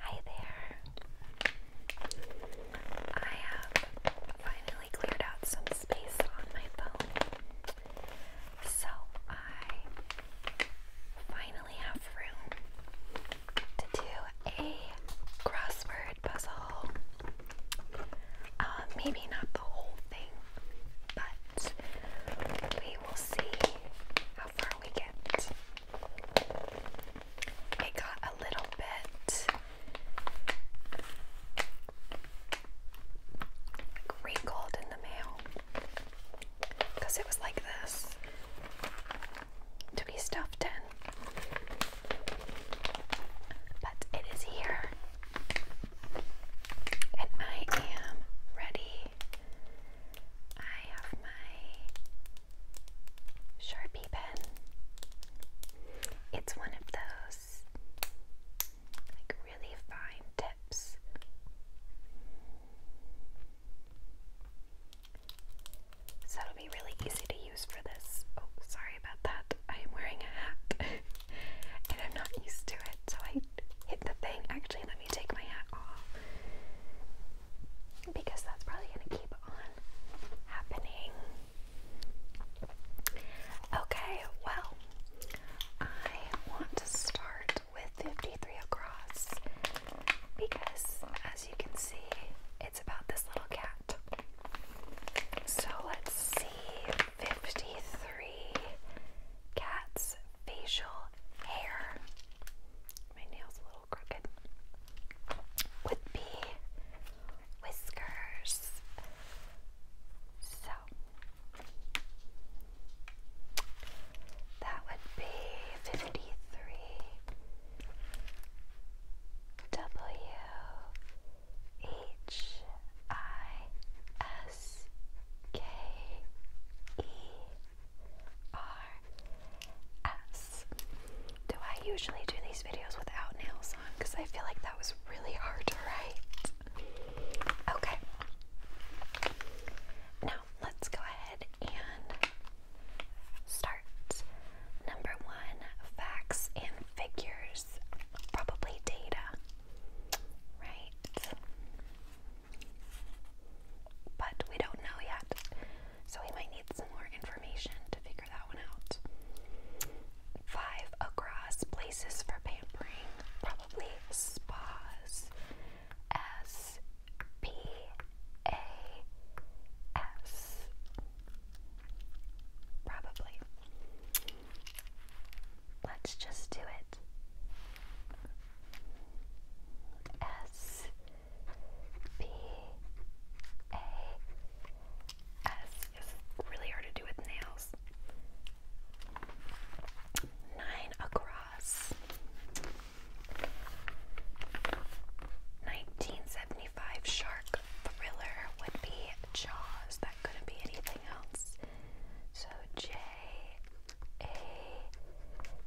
Hi there. I have finally cleared out some space on my phone. So I finally have room to do a crossword puzzle. Uh, maybe not the whole but we will see how far we get. It got a little bit wrinkled in the mail because it was like this to be stuffed in. But it is here. And I am ready. I have my Sharpie pen. It's one of those like really fine tips. So it'll be really easy to use for this. Oh, sorry about that. I am wearing a hat. and I'm not used to it, so I hit the thing. Actually, let me take my hat off because that's probably going to keep on happening. Okay, well, I want to start with 53 across because, as you can see, it's about this little cat. So let's see 53 cats facial hair. My nail's a little crooked. Would be whiskers. So that would be 53 W H I S K E R S. Do I usually do these videos without nails on? Because I feel like that was really hard to write. Okay. Now let's go ahead and start. Number one, facts and figures, probably data, right? But we don't know yet, so we might need some more information to figure that one out. Five across places for pampering, probably spas. S P A S. Probably. Let's just do it. S P A S is really hard to do with nails. Nine across. 1975 shark thriller would be Jaws. That couldn't be anything else. So J a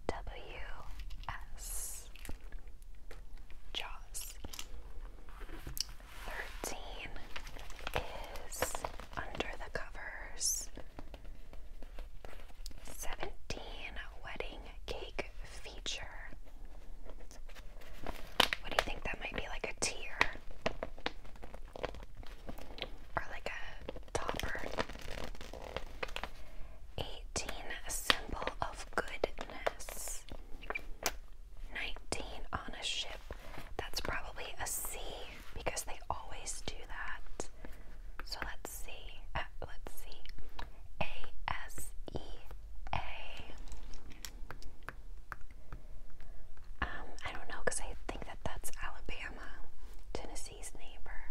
W S Jaws. Thirteen is under the covers. Seventeen wedding cake feature. What do you think that might be like a tier? or like a topper. 18 a symbol of goodness. 19 on a ship. That's probably a C because they always do that. So let's see. Uh, let's see. A S E A. Um, I don't know because I think that that's Alabama. Alabama, Tennessee's neighbor.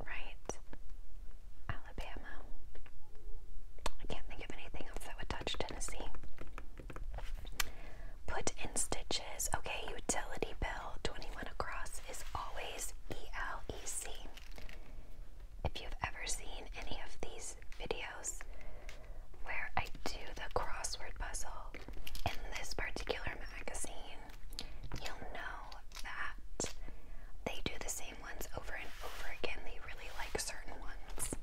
Right? Alabama. I can't think of anything else that would touch Tennessee. Put in stitches. Okay, utility bill 21 across is always ELEC. If you've ever seen any of these videos, where I do the crossword puzzle in this particular magazine, you'll know that they do the same ones over and over again. They really like certain ones.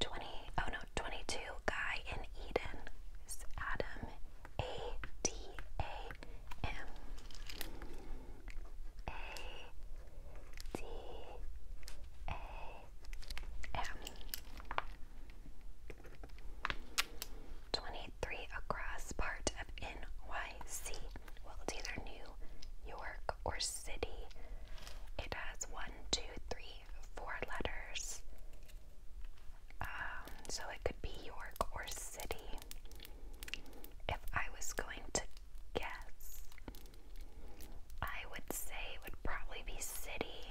20, no, 22, Guy in Eden is Adam, A D A M. A D A yeah. 23 across part of NYC. Well, it's either New York or City. It has one, two, three, four letters. Um, so it could be York or City. If I was going to guess, I would say it would probably be City.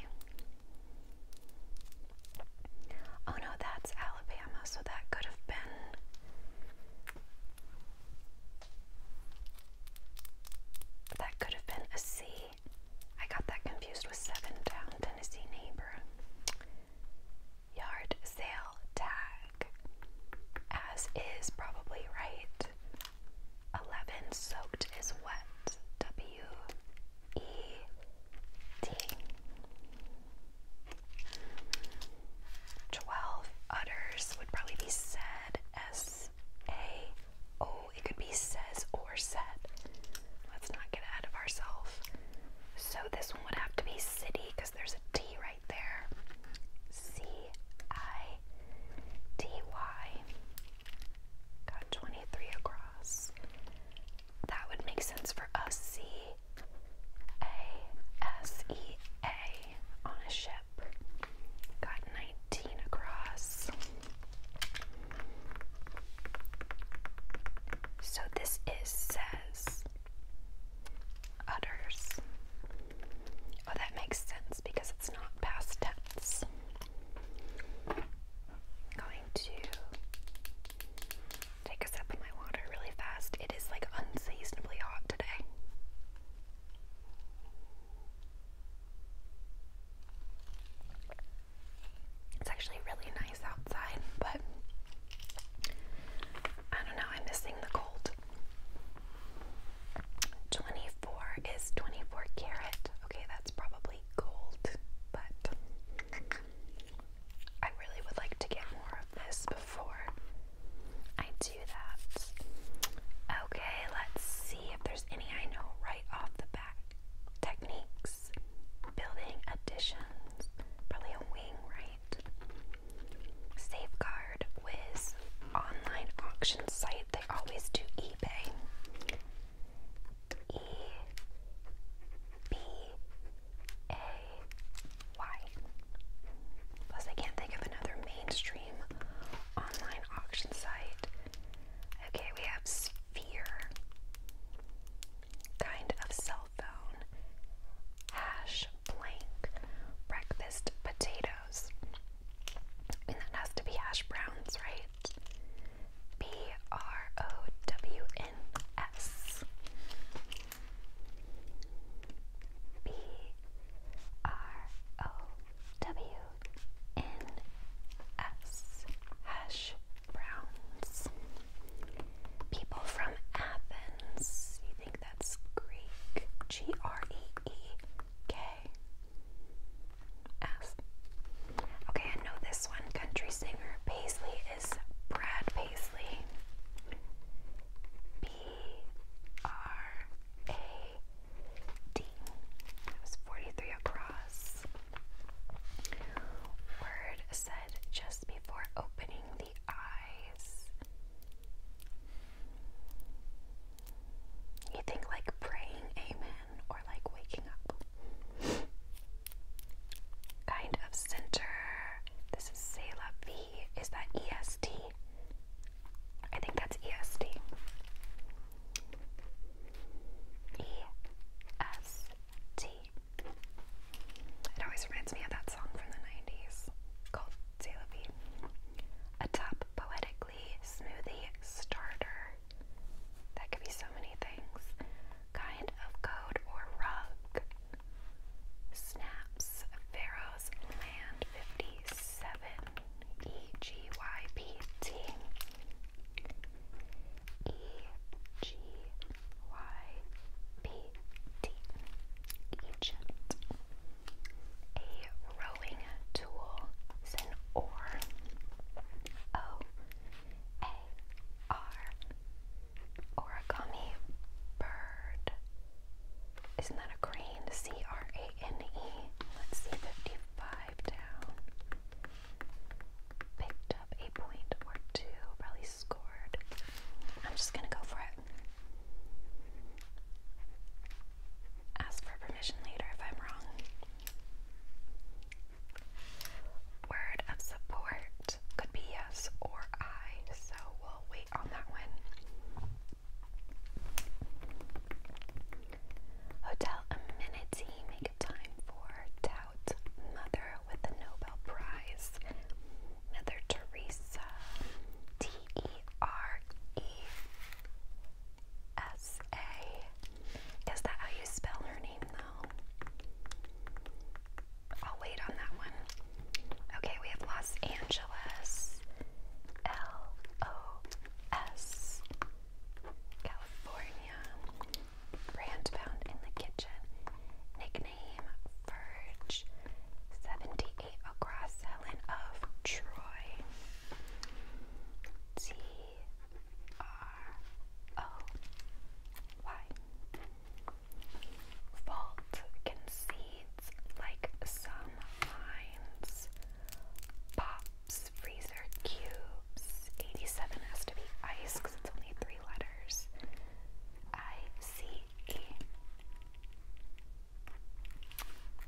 Oh no, that's Alabama, so that could have been. That could have been a C. I got that confused with Seven Down Tennessee Neighbor. Yard sale tag. As is probably right. Eleven soaked is wet. W E D. Twelve utters would probably be said. S A O. Oh, it could be says or said. Let's not get ahead of ourselves. So this one would have to be city because there's a T right there. C I D Y. Got 23 across. That would make sense for us. C A S E A on a ship. Got 19 across. So this is says udders. Oh, that makes sense because it's not past tense. going to take a sip of my water really fast. It is like unseasonably hot today. It's actually really nice outside, but I don't know, I'm missing the cold. 24 is 24 karat. Okay, that's probably gold, but I really would like to get more of this before I do that. Okay, let's see if there's any I know right off the back Techniques, building additions, probably a wing, right? Safeguard Wiz online auction site they always do eBay. E B A Y. Plus, I can't think of another mainstream online auction site. Okay, we have Sphere. Kind of cell phone. Hash blank. Breakfast potatoes. And that has to be hash browns, right? B R O W N S. B R O W N S. Hash browns. People from Athens. You think that's Greek? G R E E K ass. Okay, I know this one. Country singer Paisley is Brad Paisley. B R A D. That was 43 across. Word said just before opening the eyes. You think like praying, amen? or like waking up. Kind of center. This is Sela Is that EST? think that's EST. It always reminds me of that song from the 90s called Sela V. A top poetically smoothie starter. That could be so many things. Kind of code or rug. Snaps, Pharaoh's Land 57, E-G-Y-P-T. E-G-Y-P-T. Egypt. A rowing tool is an oar. O A R. Origami bird. Isn't that a crane? C R A N E. Let's see, 55 down. Picked up a point or two, probably scored. I'm just gonna go for it. Ask for permission later if I'm wrong. Word of support could be yes or I, so we'll wait on that one. Hotel amenity, make time for Tout Mother with the Nobel Prize. Mother Teresa, T E R E. S A. Is that how you spell her name, though? I'll wait on that one. Okay, we have Los Angeles, L O S, California, brand bound in the kitchen, nickname Verge, 78 across, Helen of Troy, T like some lines. Pops freezer cubes. 87 has to be ice because it's only three letters. I C E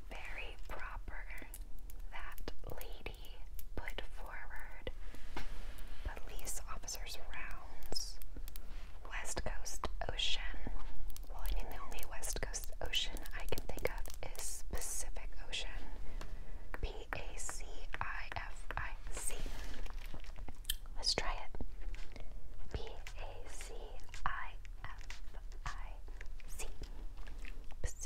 very proper that lady put forward police officers' rounds, West Coast Ocean. Well, I mean, the only West Coast Ocean I can think of is Pacific Ocean. P A C I F I C. Let's try it. P A C I F I C. pacific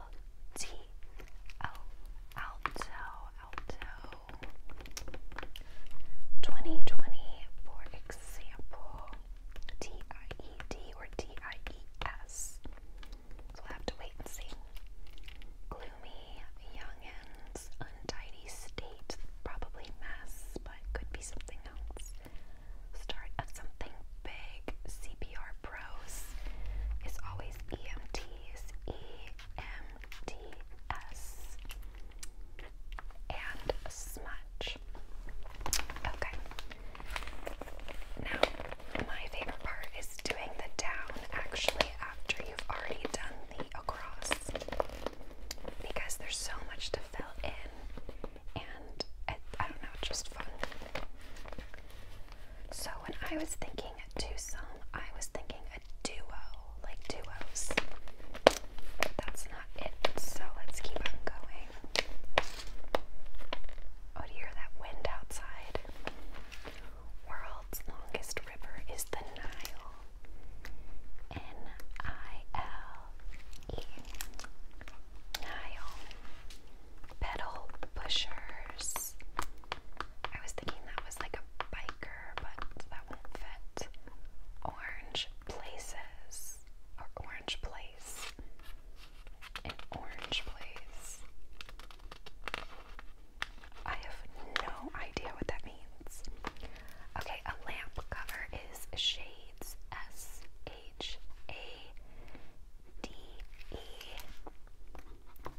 T O alto alto. 2020, for example, T I E D or T I E S. So we'll have to wait and see. Gloomy, youngins, untidy state, probably mess, but could be something else. Start of something big, CPR pros is always EMTs, EMTs, and smudge. Okay. Now, my favorite part is doing the down actually after you've already done the across because there's so much to fill in and I, don't know, just fun. So when I was thinking a twosome, I was thinking a duo, like duos. that's not it, so let's keep on going. Oh, do you hear that wind outside? World's longest river is the Nile. N-I-L-E. Nile. Petal pushers. I was thinking that was like a biker, but that won't fit. Orange places. Or orange place. An orange place. I have no idea what that means. Okay, a lamp cover is shades S H A D E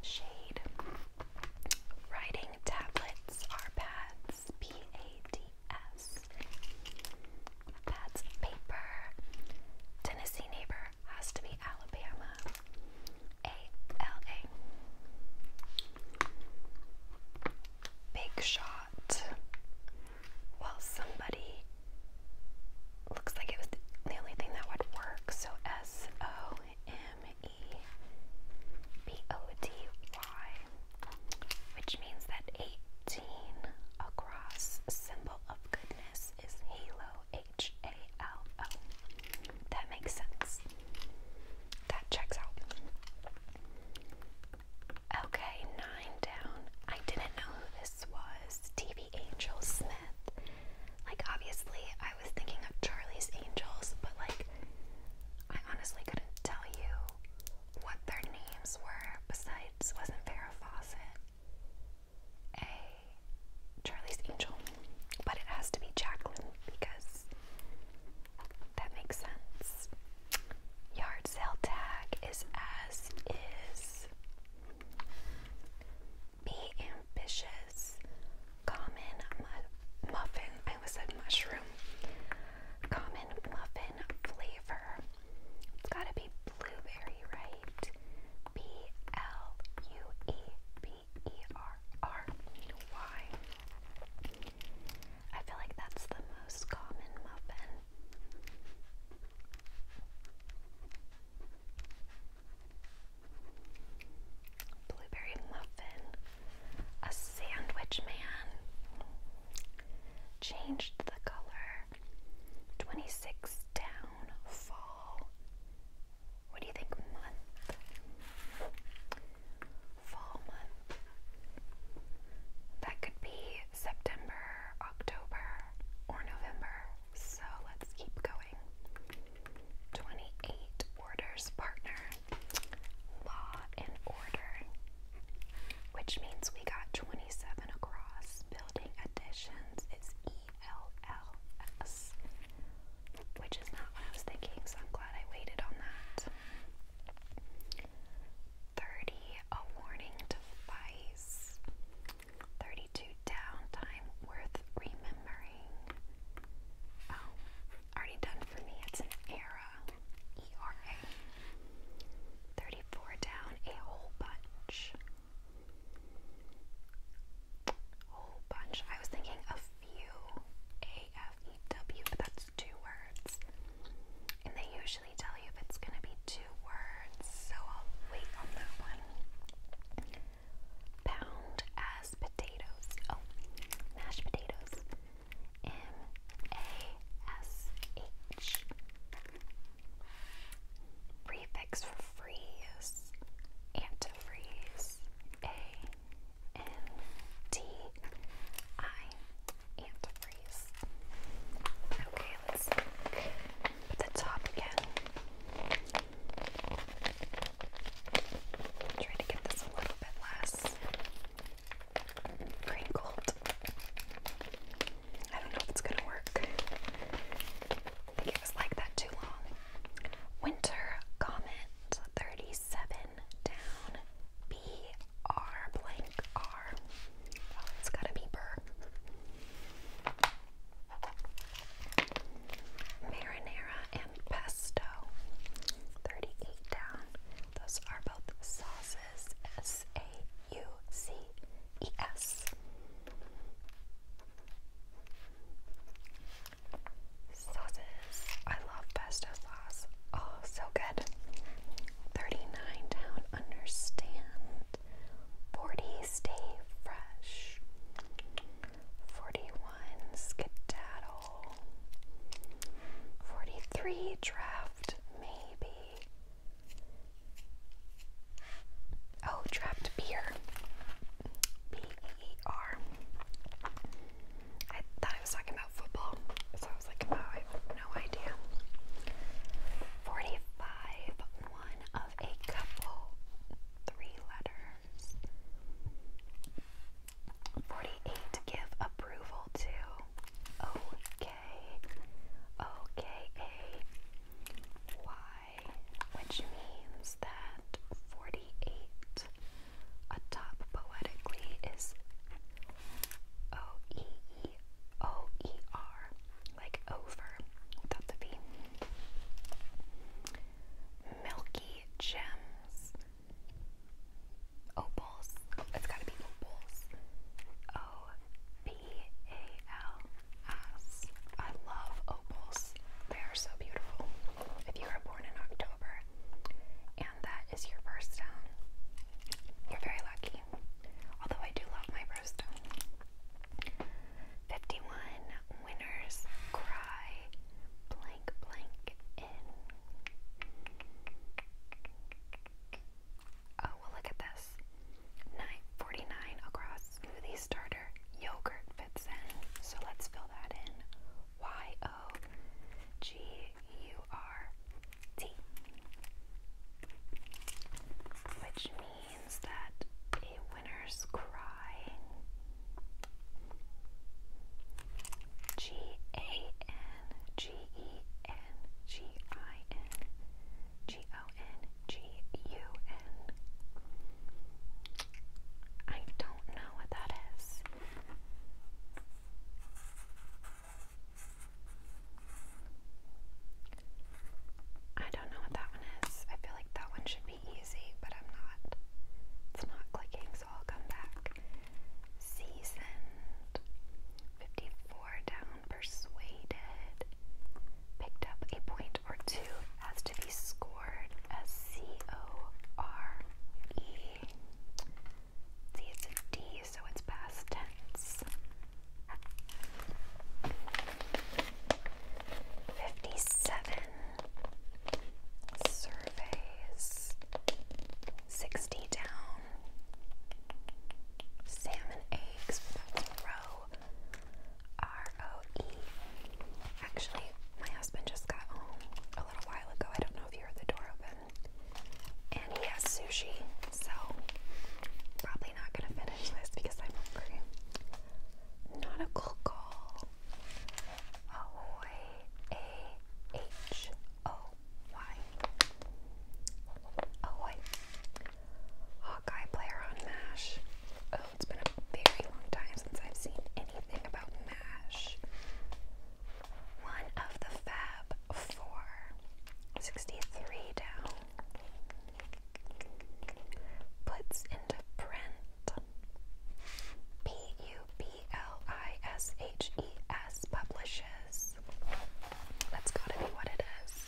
shade. Writing tablets are pads, P A D S. Pads paper. Tennessee neighbor has to be Alabama. A L A. Big shot. Well, somebody looks like it was the only thing that would work. So S O M E B O D Y, which means that 18 across symbol of goodness is halo H A L O. That makes sense. That checks out. Okay, nine down. I didn't know who this was. TV maybe Smith. Like, obviously, I was thinking of Charlie's Angels, but like, I honestly couldn't tell you what their names were. Besides, wasn't Farrah Fawcett a Charlie's Angel? But it has to be Jacqueline because that makes sense. Yard sale tag is as is. Be ambitious. Common muffin. I always said mushroom. Common muffin flavor. It's got to be blueberry, right? B L U E B E R R Y. I feel like that's the most common muffin. Blueberry muffin, a sandwich man, changed the color, 26 down, fall. What do you think, month? Fall month. That could be September, October, or November. So let's keep going. 28 orders partner law and order which means we got 27 across building additions is ELLS which is not what I was thinking so I'm glad I waited on that 30 a warning to 32 downtime worth remembering. Oh, already done for me. It's an era. ERA. 34 down a whole bunch. Whole bunch. I was thinking a few. A F E W, that's two words. And they usually tell you if it's going to be two words, so I'll wait on that one pound as potatoes. Oh, mashed potatoes. M A S H. Prefix for freeze. Antifreeze. A N T I. Antifreeze. Okay, let's look at the top again. Try to get this a little bit less crinkled. I don't know if it's gonna work. think it was like that too long. Winter comment 37 down. B R blank R. Oh, it's gotta be burr. Marinara and pesto. 38 down. Those are both sauces. S A U C E S. Sauces. I love pesto sauce. Oh, so good. 39 down. Understand. 40 stay fresh. 41 skedaddle 43 draft maybe oh draft beer b e e r I thought I was talking about football so I was like oh, no idea 45 one of a couple three letter 48. Give approval to OK, which means that 48 atop poetically is O E E O E R, like over without the V milky gems. Opals. it's gotta be opals. O P A L S. I love opals. They are so beautiful. If you are born in October and that is your birthstone, you're very lucky. Although I do love my birthstone. 51 winners cry blank blank in. Oh, look at this. 949 across smoothie starter yogurt fits in. So let's fill that in. Y O G U R T. Which means means that a winner's cry G A N G E N G I N G O N G U N I don't know what that is. I don't know what that one is. I feel like that one should easy, but I'm not. It's not clicking, so I'll come back. Seasoned. 54 down. Persuaded. Picked up a point or two. Has to be scored as See, it's a D, so it's past tense. Fifty-seven surveys, sixty down, salmon eggs, row, R-O-E. Actually, my husband just got home a little while ago. I don't know if you heard the door open. And he has sushi, so probably not gonna finish this because I'm hungry. Not a Nautical call. Ahoy, A H O Y. Hawkeye player on MASH. Oh, it's been a very long time since I've seen anything about MASH. One of the Fab Four. 63 down puts into print. P U B L I S H E S publishes. that has gotta be what it is.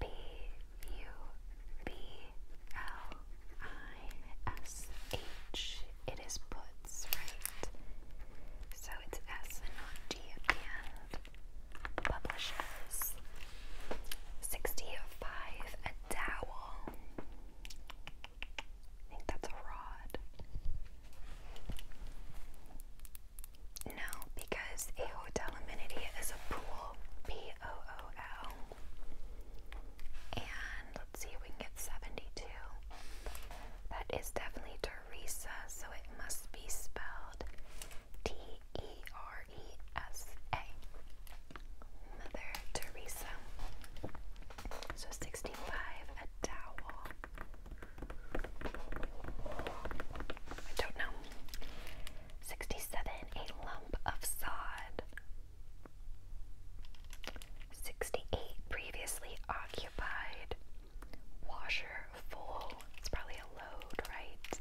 P U B L I S H. It is puts, right? So it's S and not D at the end. Publishes. Sixty-five a dowel. I think that's a rod. No, because a hotel amenity is a pool. P O O L. And let's see if we can get seventy-two. That is definitely Teresa, so it must be spelled T E R R E S A. Mother Teresa. So 65, a towel. I don't know. 67, a lump of sod. 68, previously occupied. Washer full. It's probably a load, right?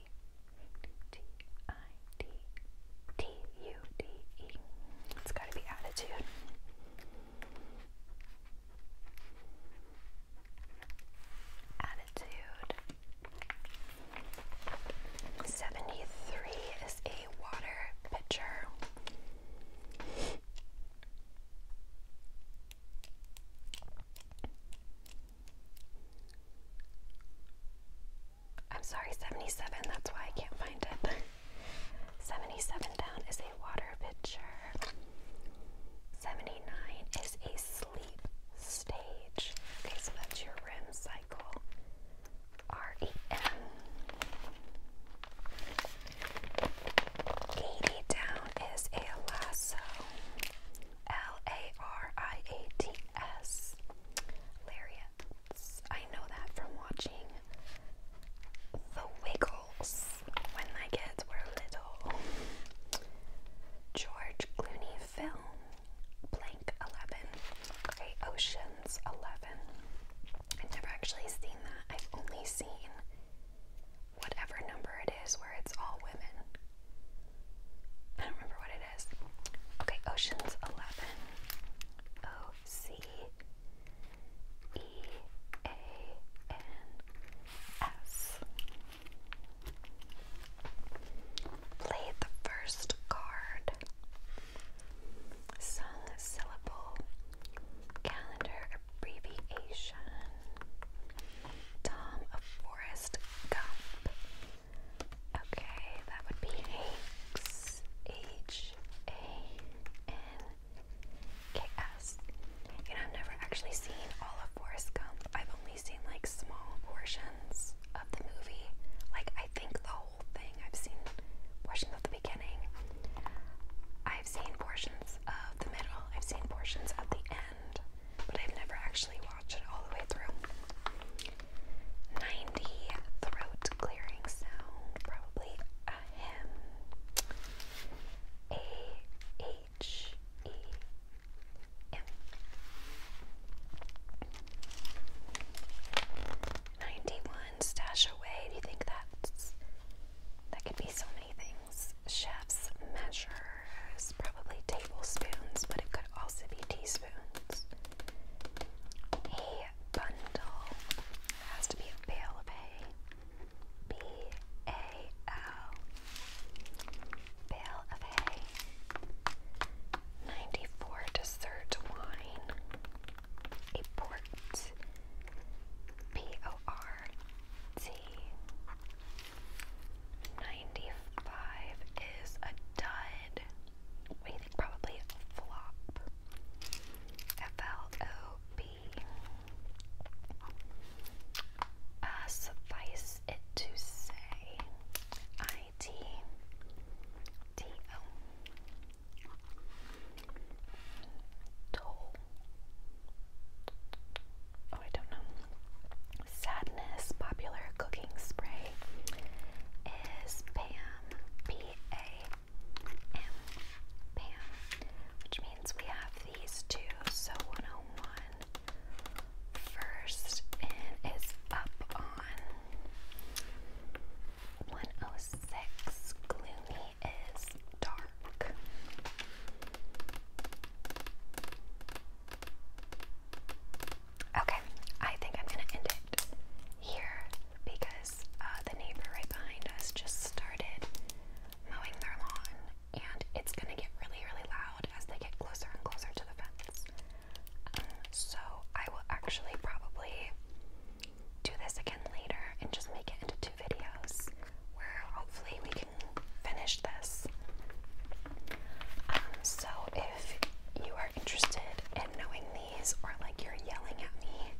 T I D T U D E. It's got to be attitude. Attitude. 73 is a water pitcher. I'm sorry, 77, that's why I can't find it. 77 down is a water pitcher. 79 is a sleep stage. Okay, so that's your REM cycle. R E M. 80 down is a lasso. L A R I A T S. Lariats. I know that from watching The Wiggles when my kids were little. George Clooney film, Blank 11. Okay, Oceans 11. I've never actually seen that. I've only seen whatever number it is where it's all women. I don't remember what it is. Okay, Ocean's 11. O C E A N S. Played the first card. Sung syllable. Calendar abbreviation. Tom of Forest Gump. Okay, that would be Hanks. You know, I've never actually seen all of Forrest Gump. I've only seen like small portions of the movie. Like, I think the whole thing. I've seen portions of the beginning. I've seen portions of the middle. I've seen portions of the end but I've never actually watched it all the way through. 90 throat clearing sound, probably a 91 stash away. Do you think that's that could be so many things? chef's measures, probably tablespoons, but it could also be teaspoons. A bundle has to be a bale of hay. B A L. Bale of hay. 94 dessert wine. A port. P O R T. 95 is a dud. We think probably flop. F L O B. Uh, suffice it to say, I T D O. Oh, I don't know. Sadness Popular Cooking Spray is PAM, P-A-M, PAM, which means we have these two, so 101 first and is up on 106. Gloomy is dark. Okay, I think I'm gonna end it here because uh, the neighbor right behind us just started mowing their lawn, and it's gonna get really, really loud as they get closer and closer to the fence. Um, so I will actually probably do this again later and just make it into two videos where hopefully we can finish this. Um, so if you are interested in knowing these or like you're yelling at me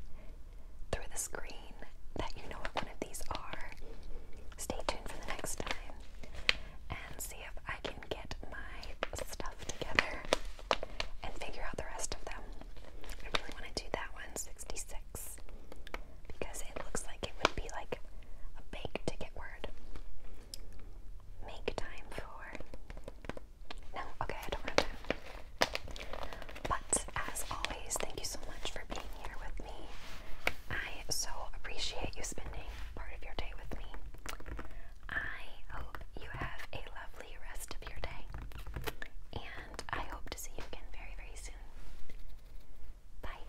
through the screen that you know what one of these are, stay tuned for the next time and see if I can get my stuff together and figure out the rest of them. I really want to do that one, 66, because it looks like it would be like a bake ticket word. Make time for. No, okay, I don't have time. But as always, thank you so much for being here with me. I so appreciate you spending part of your day with me. I hope you have a lovely rest of your day, and I hope to see you again very, very soon. Bye.